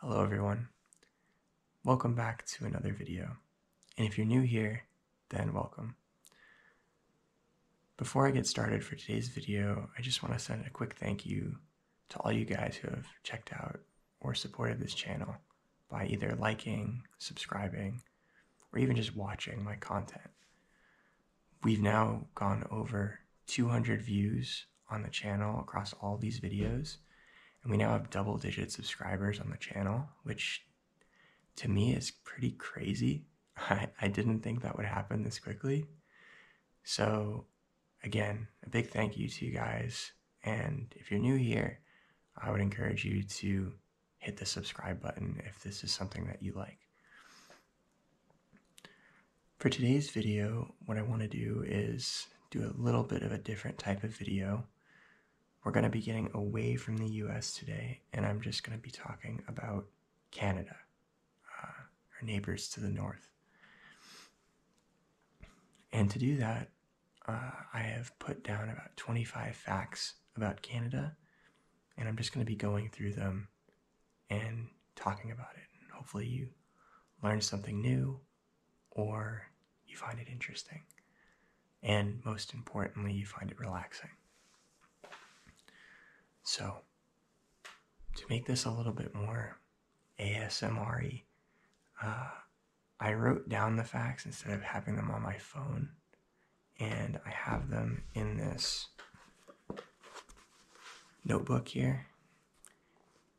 Hello everyone. Welcome back to another video. And if you're new here, then welcome. Before I get started for today's video, I just want to send a quick thank you to all you guys who have checked out or supported this channel by either liking, subscribing, or even just watching my content. We've now gone over 200 views on the channel across all these videos. And we now have double digit subscribers on the channel, which to me is pretty crazy. I, didn't think that would happen this quickly. So, again, a big thank you to you guys. And if you're new here, I would encourage you to hit the subscribe button if this is something that you like. For today's video, what I want to do is do a little bit of a different type of video. We're going to be getting away from the US today, and I'm just going to be talking about Canada, uh, our neighbors to the north. And to do that, uh, I have put down about 25 facts about Canada, and I'm just going to be going through them and talking about it. And hopefully, you learn something new or you find it interesting. And most importantly, you find it relaxing. So, to make this a little bit more ASMR uh, I wrote down the facts instead of having them on my phone. And I have them in this notebook here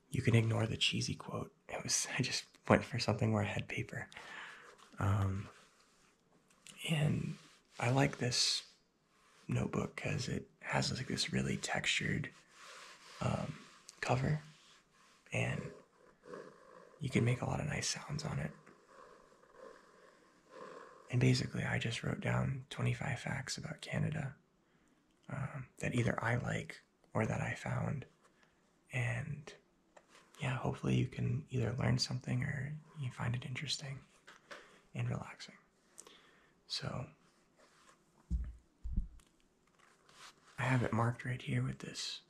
you can ignore the cheesy quote. It was I just went for something where I had paper. Um, and I like this notebook because it has like this really textured um, cover, and you can make a lot of nice sounds on it. And basically, I just wrote down 25 facts about Canada um, that either I like or that I found. And yeah, hopefully you can either learn something or you find it interesting and relaxing. So I have it marked right here with this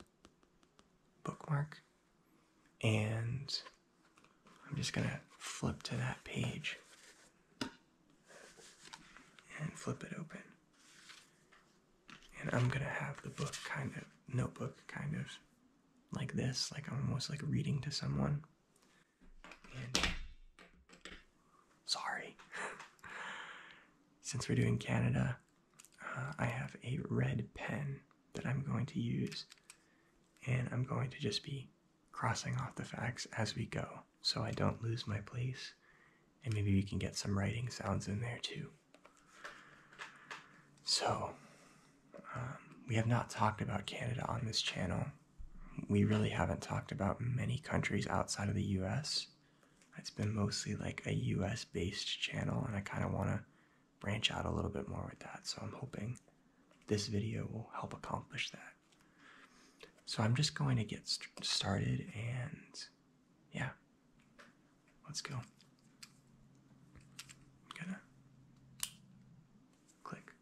bookmark. And I'm just going to flip to that page and flip it open. And I'm gonna have the book kind of, notebook kind of like this, like I'm almost like reading to someone. sorry. Since we're doing Canada, uh, I have a red pen that I'm going to use, and I'm going to just be crossing off the facts as we go so I don't lose my place. And maybe we can get some writing sounds in there too. So, um, we have not talked about Canada on this channel. We really haven't talked about many countries outside of the US. It's been mostly like a US based channel, and I kind of want to branch out a little bit more with that. So, I'm hoping this video will help accomplish that. So I'm just going to get started and yeah, let's go. I'm gonna click.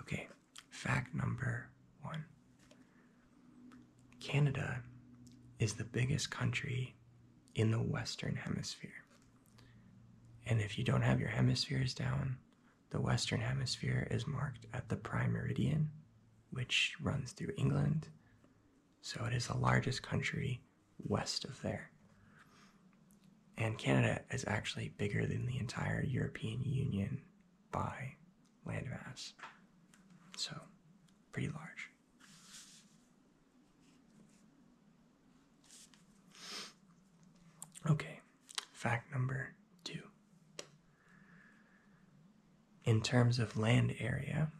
Okay, fact number one Canada is the biggest country in the Western Hemisphere. And if you don't have your hemispheres down, the Western Hemisphere is marked at the prime meridian, which runs through England, so it is the largest country west of there. And Canada is actually bigger than the entire European Union by landmass, so pretty large. Okay, Fact number two. In terms of land area,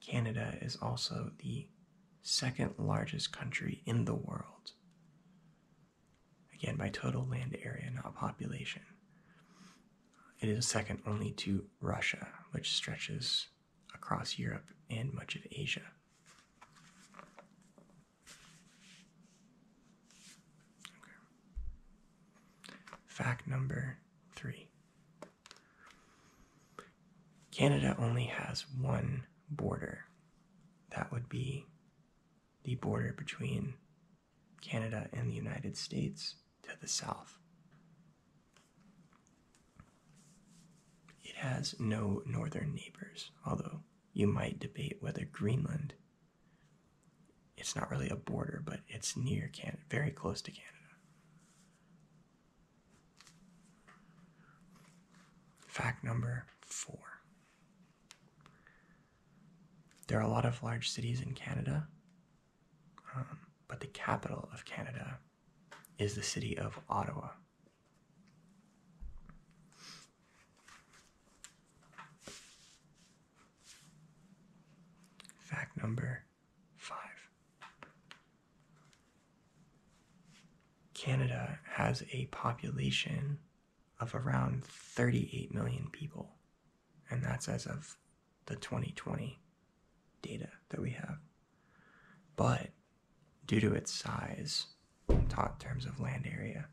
Canada is also the second largest country in the world. Again, by total land area, not population. It is second only to Russia, which stretches across Europe and much of Asia. Fact number three Canada only has one border. That would be the border between Canada and the United States to the south. It has no northern neighbors, although you might debate whether Greenland, it's not really a border, but it's near Canada, very close to Canada. Fact number four. There are a lot of large cities in Canada, um, but the capital of Canada is the city of Ottawa. Fact number five Canada has a population of around 38 million people, and that's as of the 2020 data that we have. But due to its size in terms of land area,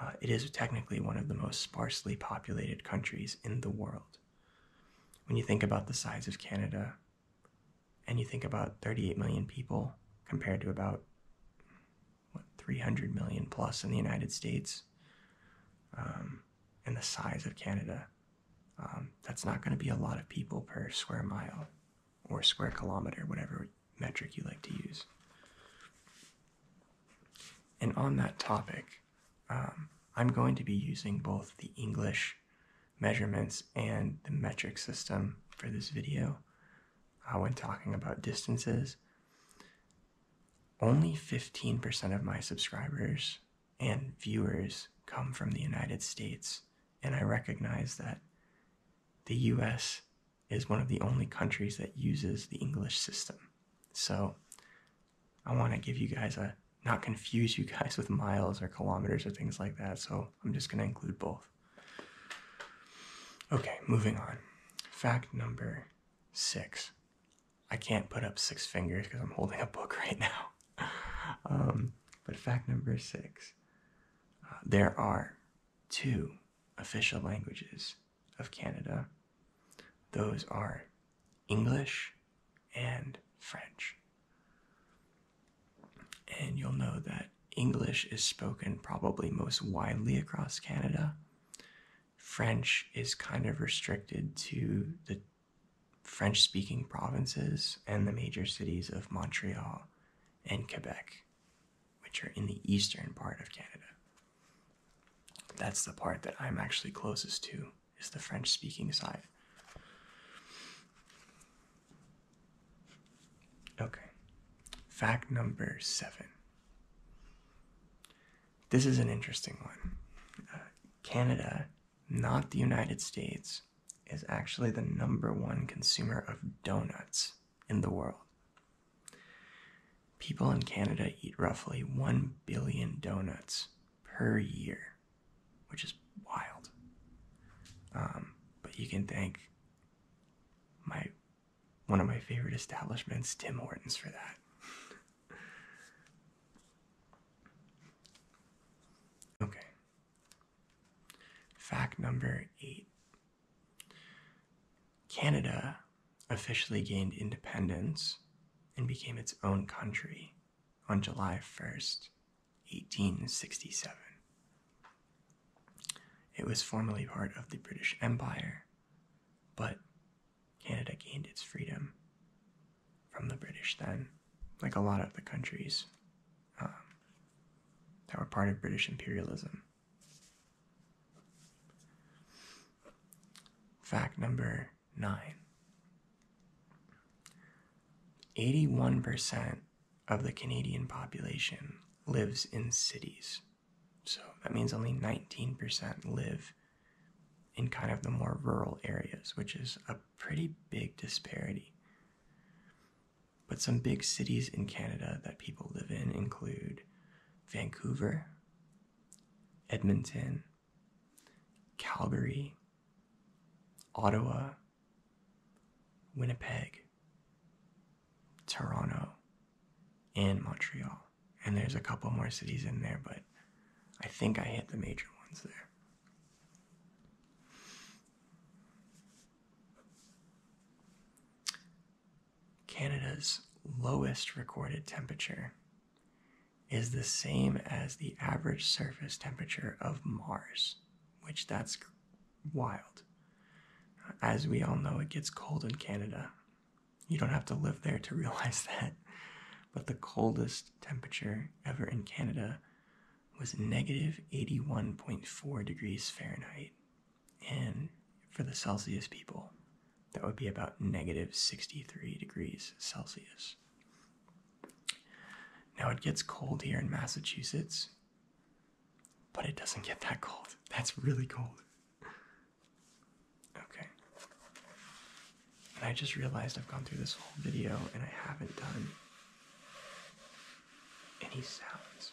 uh, it is technically one of the most sparsely populated countries in the world. When you think about the size of Canada, and you think about 38 million people compared to about 300 million plus in the United States, um, and the size of Canada, um, that's not going to be a lot of people per square mile or square kilometer, whatever metric you like to use. And on that topic, um, I'm going to be using both the English measurements and the metric system for this video uh, when talking about distances. Only 15% of my subscribers and viewers come from the United States, and I recognize that the US is one of the only countries that uses the English system. So I want to give you guys a not confuse you guys with miles or kilometers or things like that. So I'm just going to include both. Okay, moving on. Fact number six. I can't put up six fingers because I'm holding a book right now. Um, but fact number six uh, there are two official languages of Canada. Those are English and French. And you'll know that English is spoken probably most widely across Canada. French is kind of restricted to the French speaking provinces and the major cities of Montreal and Quebec which are in the eastern part of Canada. That's the part that I'm actually closest to, is the French speaking side. Okay, fact number seven. This is an interesting one. Uh, Canada, not the United States, is actually the number one consumer of donuts in the world. People in Canada eat roughly 1 billion donuts per year, which is wild. Um, but you can thank my one of my favorite establishments, Tim Hortons, for that. okay. Fact number eight Canada officially gained independence and became its own country on July 1st, 1867. It was formerly part of the British Empire, but Canada gained its freedom from the British then, like a lot of the countries um, that were part of British imperialism. Fact number nine 81% of the Canadian population lives in cities. So that means only 19% live in kind of the more rural areas, which is a pretty big disparity. But some big cities in Canada that people live in include Vancouver, Edmonton, Calgary, Ottawa, Winnipeg, Toronto, and Montreal. And there's a couple more cities in there, but I think I hit the major ones there. Canada's lowest recorded temperature is the same as the average surface temperature of Mars, which that's wild. As we all know, it gets cold in Canada. You don't have to live there to realize that. But the coldest temperature ever in Canada was negative 81.4 degrees Fahrenheit and for the Celsius people, that would be about negative 63 degrees Celsius. Now it gets cold here in Massachusetts, but it doesn't get that cold. That's really cold. Okay. And I just realized I've gone through this whole video and I haven't done any sounds.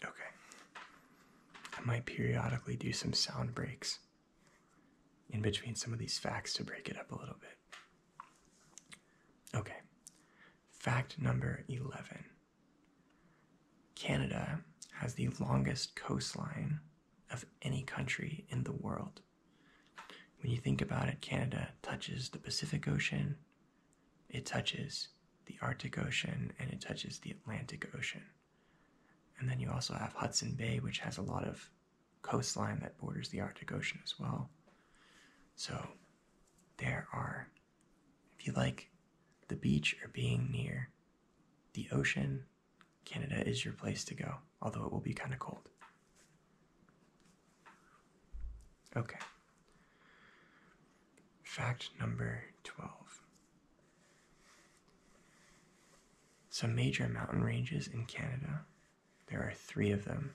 Okay. I might periodically do some sound breaks in between some of these facts to break it up a little bit. Okay, fact number 11 Canada has the longest coastline of any country in the world. When you think about it, Canada touches the Pacific Ocean, it touches the Arctic Ocean, and it touches the Atlantic Ocean. And then you also have Hudson Bay, which has a lot of coastline that borders the Arctic Ocean as well. So there are, if you like the beach or being near the ocean, Canada is your place to go, although it will be kind of cold. Okay. Fact number 12. Some major mountain ranges in Canada, there are three of them.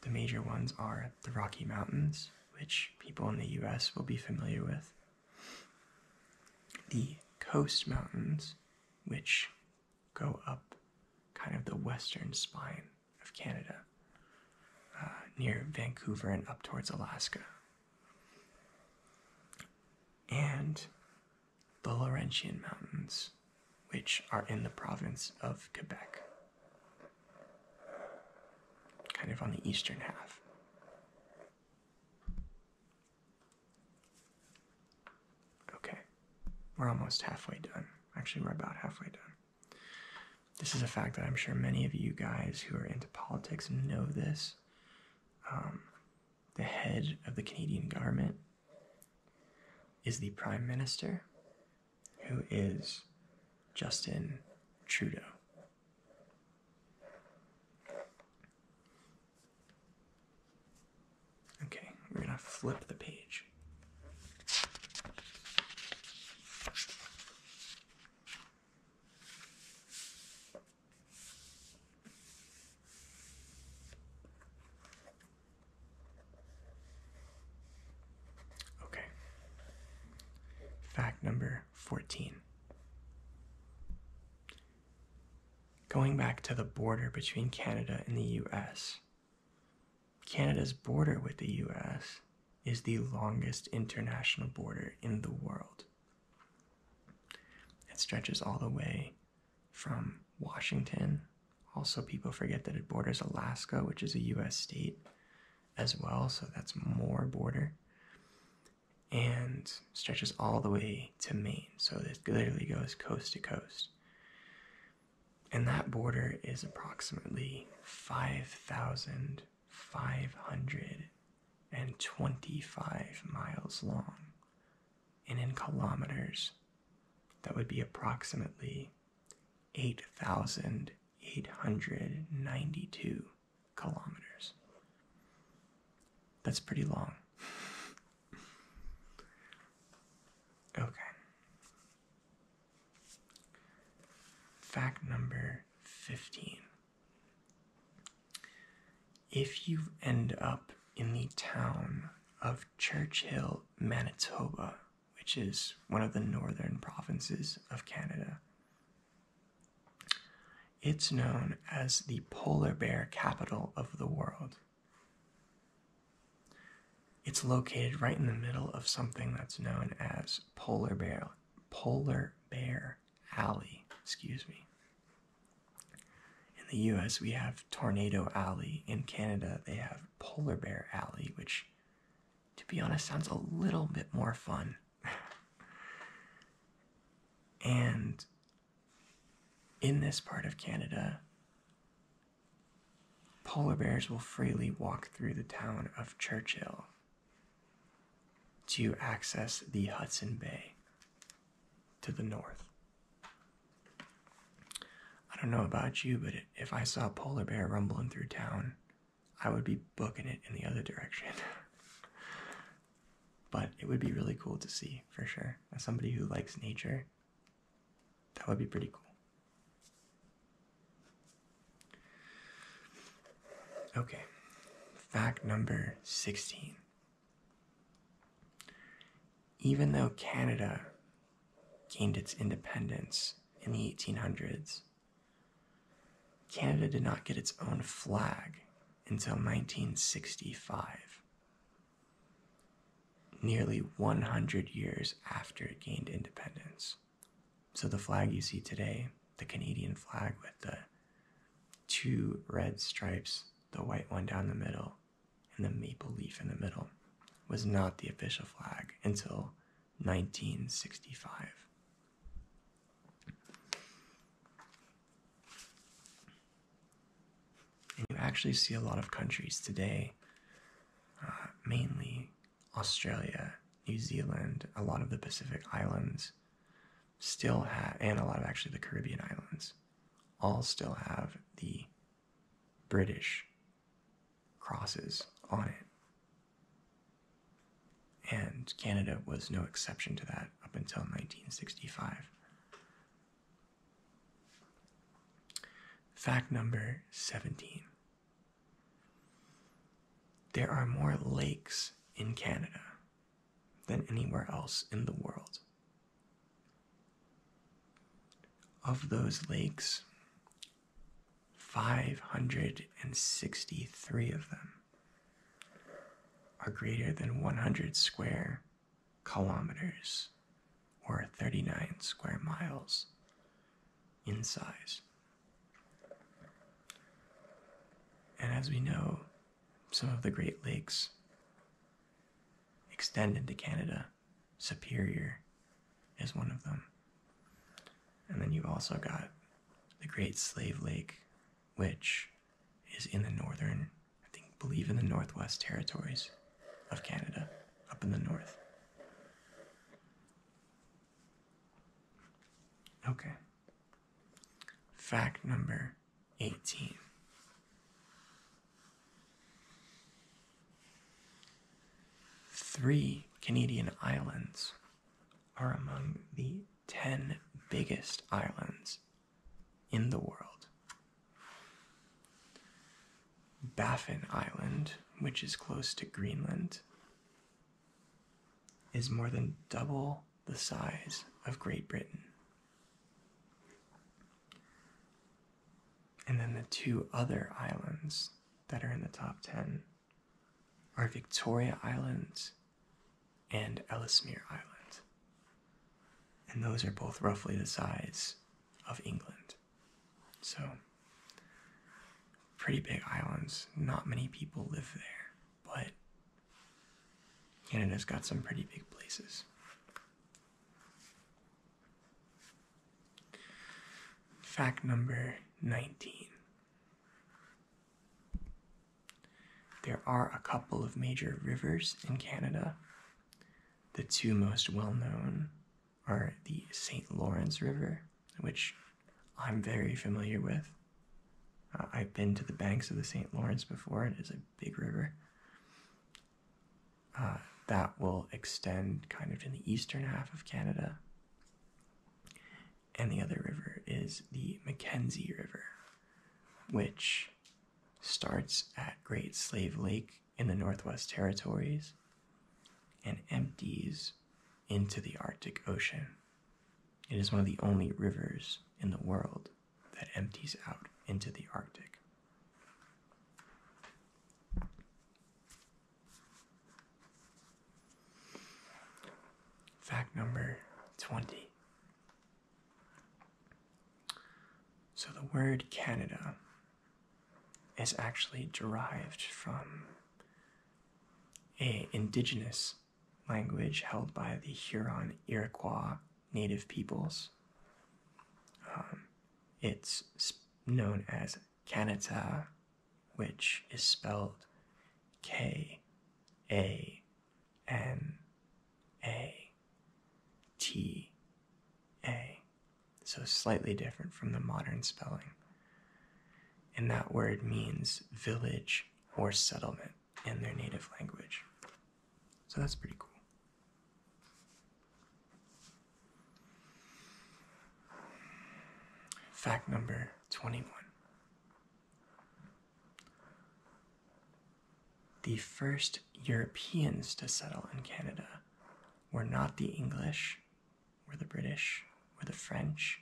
The major ones are the Rocky Mountains, which people in the US will be familiar with, the Coast Mountains, which go up kind of the western spine of Canada, uh, near Vancouver and up towards Alaska, and the Laurentian Mountains, which are in the province of Quebec, kind of on the eastern half. Okay, we're almost halfway done. Actually, we're about halfway done. This is a fact that I'm sure many of you guys who are into politics know this, um, the head of the Canadian government is the Prime Minister, who is Justin Trudeau. Okay, we're going to flip the page. Okay. Fact number 14. Going back to the border between Canada and the US, Canada's border with the US is the longest international border in the world. It stretches all the way from Washington. Also, people forget that it borders Alaska, which is a U.S. state as well, so that's more border. And stretches all the way to Maine, so it literally goes coast to coast. And that border is approximately 5,000 525 miles long, and in kilometers, that would be approximately 8,892 kilometers. That's pretty long. okay. Fact number 15. If you end up in the town of Churchill, Manitoba, which is one of the northern provinces of Canada, it's known as the polar bear capital of the world. It's located right in the middle of something that's known as Polar Bear Polar Bear Alley, excuse me. In the US, we have Tornado Alley. In Canada, they have Polar Bear Alley, which, to be honest, sounds a little bit more fun. and in this part of Canada, polar bears will freely walk through the town of Churchill to access the Hudson Bay to the north. I don't know about you, but if I saw a polar bear rumbling through town, I would be booking it in the other direction. but it would be really cool to see for sure. As somebody who likes nature, that would be pretty cool. Okay, fact number 16. Even though Canada gained its independence in the 1800s, Canada did not get its own flag until 1965, nearly 100 years after it gained independence. So the flag you see today, the Canadian flag with the two red stripes, the white one down the middle, and the maple leaf in the middle, was not the official flag until 1965. you actually see a lot of countries today, uh, mainly Australia, New Zealand, a lot of the Pacific Islands, still have, and a lot of actually the Caribbean islands, all still have the British crosses on it. And Canada was no exception to that up until 1965. Fact number 17. There are more lakes in Canada than anywhere else in the world. Of those lakes, 563 of them are greater than 100 square kilometers or 39 square miles in size. And as we know, some of the Great Lakes extend into Canada. Superior is one of them. And then you've also got the Great Slave Lake, which is in the northern, I think, believe in the Northwest Territories of Canada, up in the north. Okay. Fact number 18. Three Canadian islands are among the 10 biggest islands in the world. Baffin Island, which is close to Greenland, is more than double the size of Great Britain. And then the two other islands that are in the top 10 are Victoria Islands and Ellesmere Island. And those are both roughly the size of England. So, pretty big islands. Not many people live there but Canada's got some pretty big places. Fact number 19. There are a couple of major rivers in Canada. The two most well known are the St. Lawrence River which I'm very familiar with. Uh, I've been to the banks of the St. Lawrence before, it is a big river. Uh, that will extend kind of in the eastern half of Canada. And the other river is the Mackenzie River, which starts at Great Slave Lake in the Northwest Territories and empties into the Arctic Ocean. It is one of the only rivers in the world that empties out into the Arctic. Fact number 20. So the word Canada is actually derived from a indigenous language held by the Huron Iroquois native peoples. Um, it's known as Kanata, which is spelled K A N A T A, so slightly different from the modern spelling. And that word means village or settlement in their native language. So that's pretty cool. Fact number 21. The first Europeans to settle in Canada were not the English, were the British, were the French,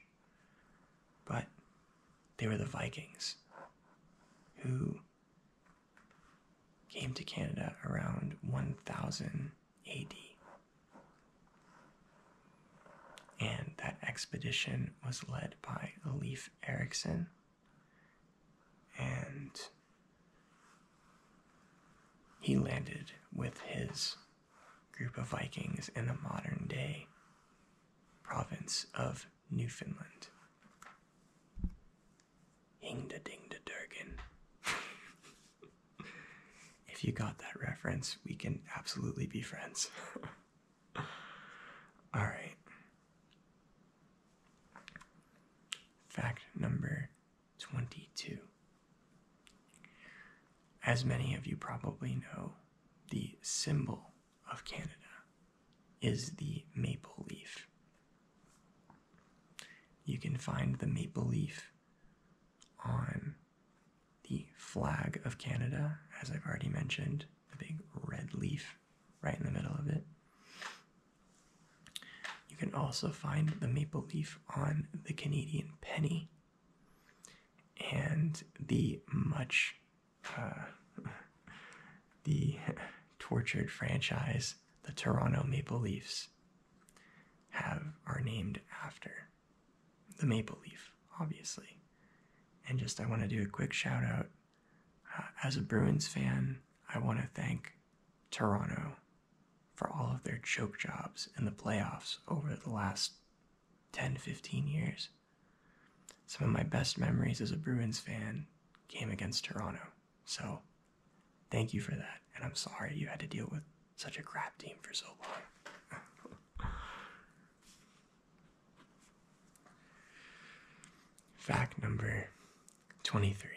but they were the Vikings who came to Canada around 1000 AD. And that expedition was led by Leif Erikson and he landed with his group of Vikings in the modern day province of Newfoundland. Hing da Durgan. if you got that reference, we can absolutely be friends. Alright. Fact number 22. As many of you probably know, the symbol of Canada is the maple leaf. You can find the maple leaf on the flag of Canada, as I've already mentioned, the big red leaf right in the middle of it. You can also find the maple leaf on the Canadian penny and the much uh, the tortured franchise the Toronto Maple Leafs have are named after the maple leaf obviously and just I want to do a quick shout out uh, as a Bruins fan I want to thank Toronto for all of their choke jobs in the playoffs over the last 10 15 years some of my best memories as a Bruins fan came against Toronto. So thank you for that. And I'm sorry you had to deal with such a crap team for so long. Fact number 23.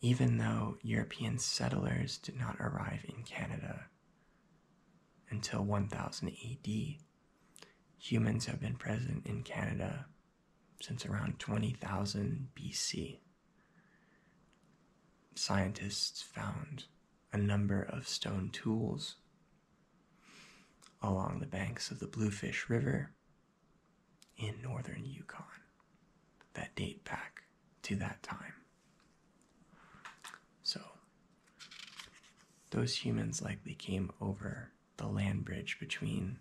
Even though European settlers did not arrive in Canada until 1000 AD, humans have been present in Canada since around 20,000 BC. Scientists found a number of stone tools along the banks of the Bluefish River in northern Yukon that date back to that time. So, those humans likely came over the land bridge between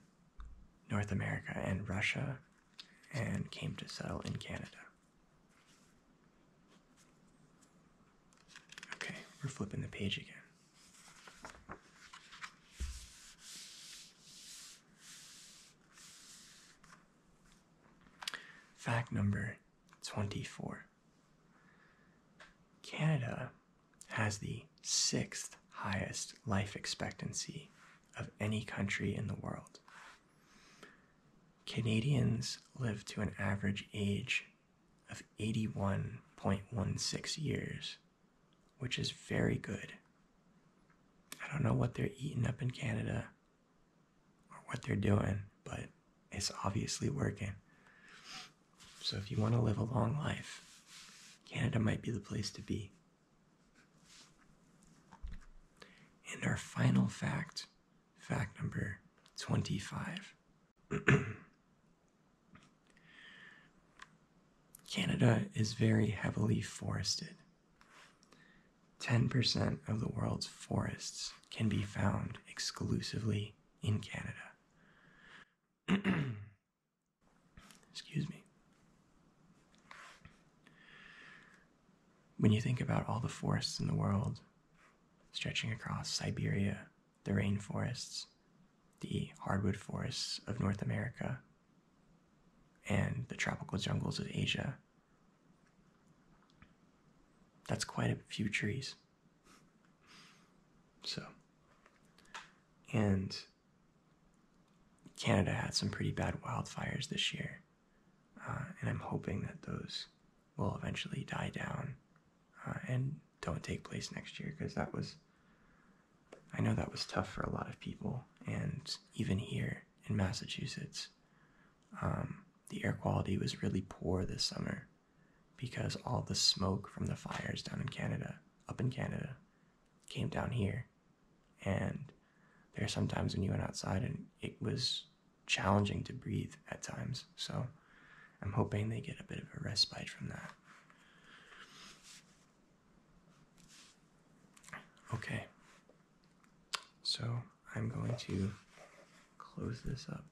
North America and Russia and came to settle in Canada. Okay, we're flipping the page again. Fact number 24 Canada has the sixth highest life expectancy of any country in the world. Canadians live to an average age of 81.16 years, which is very good. I don't know what they're eating up in Canada, or what they're doing, but it's obviously working. So if you want to live a long life, Canada might be the place to be. And our final fact, fact number 25. Canada is very heavily forested. 10% of the world's forests can be found exclusively in Canada. Excuse me. When you think about all the forests in the world, stretching across Siberia, the rainforests, the hardwood forests of North America, and the tropical jungles of Asia, that's quite a few trees. So, and Canada had some pretty bad wildfires this year, uh, and I'm hoping that those will eventually die down uh, and don't take place next year because that was, I know that was tough for a lot of people, and even here in Massachusetts, um, the air quality was really poor this summer because all the smoke from the fires down in Canada, up in Canada, came down here. And there are sometimes when you went outside and it was challenging to breathe at times. So I'm hoping they get a bit of a respite from that. Okay, so I'm going to close this up.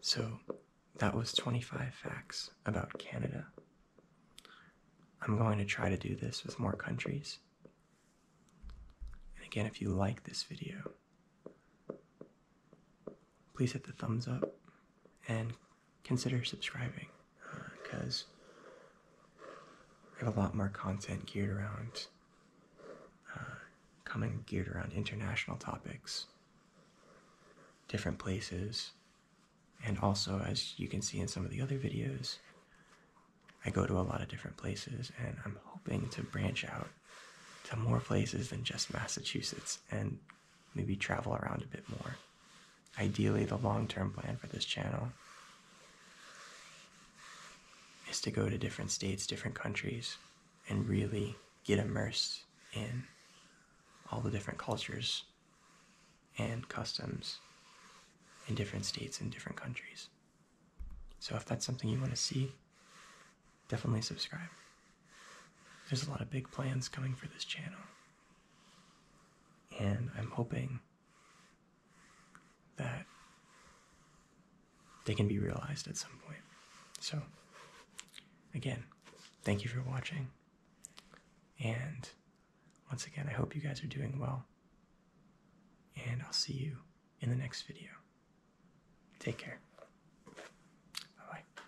So that was 25 facts about Canada. I'm going to try to do this with more countries. And again, if you like this video, please hit the thumbs up and consider subscribing because I have a lot more content geared around uh, coming geared around international topics, different places, and also as you can see in some of the other videos, I go to a lot of different places and I'm hoping to branch out to more places than just Massachusetts and maybe travel around a bit more. Ideally, the long-term plan for this channel is to go to different states, different countries, and really get immersed in all the different cultures and customs in different states and different countries. So if that's something you want to see, definitely subscribe. There's a lot of big plans coming for this channel. And I'm hoping that they can be realized at some point. So, again, thank you for watching. And once again, I hope you guys are doing well. And I'll see you in the next video. Take care. Bye bye.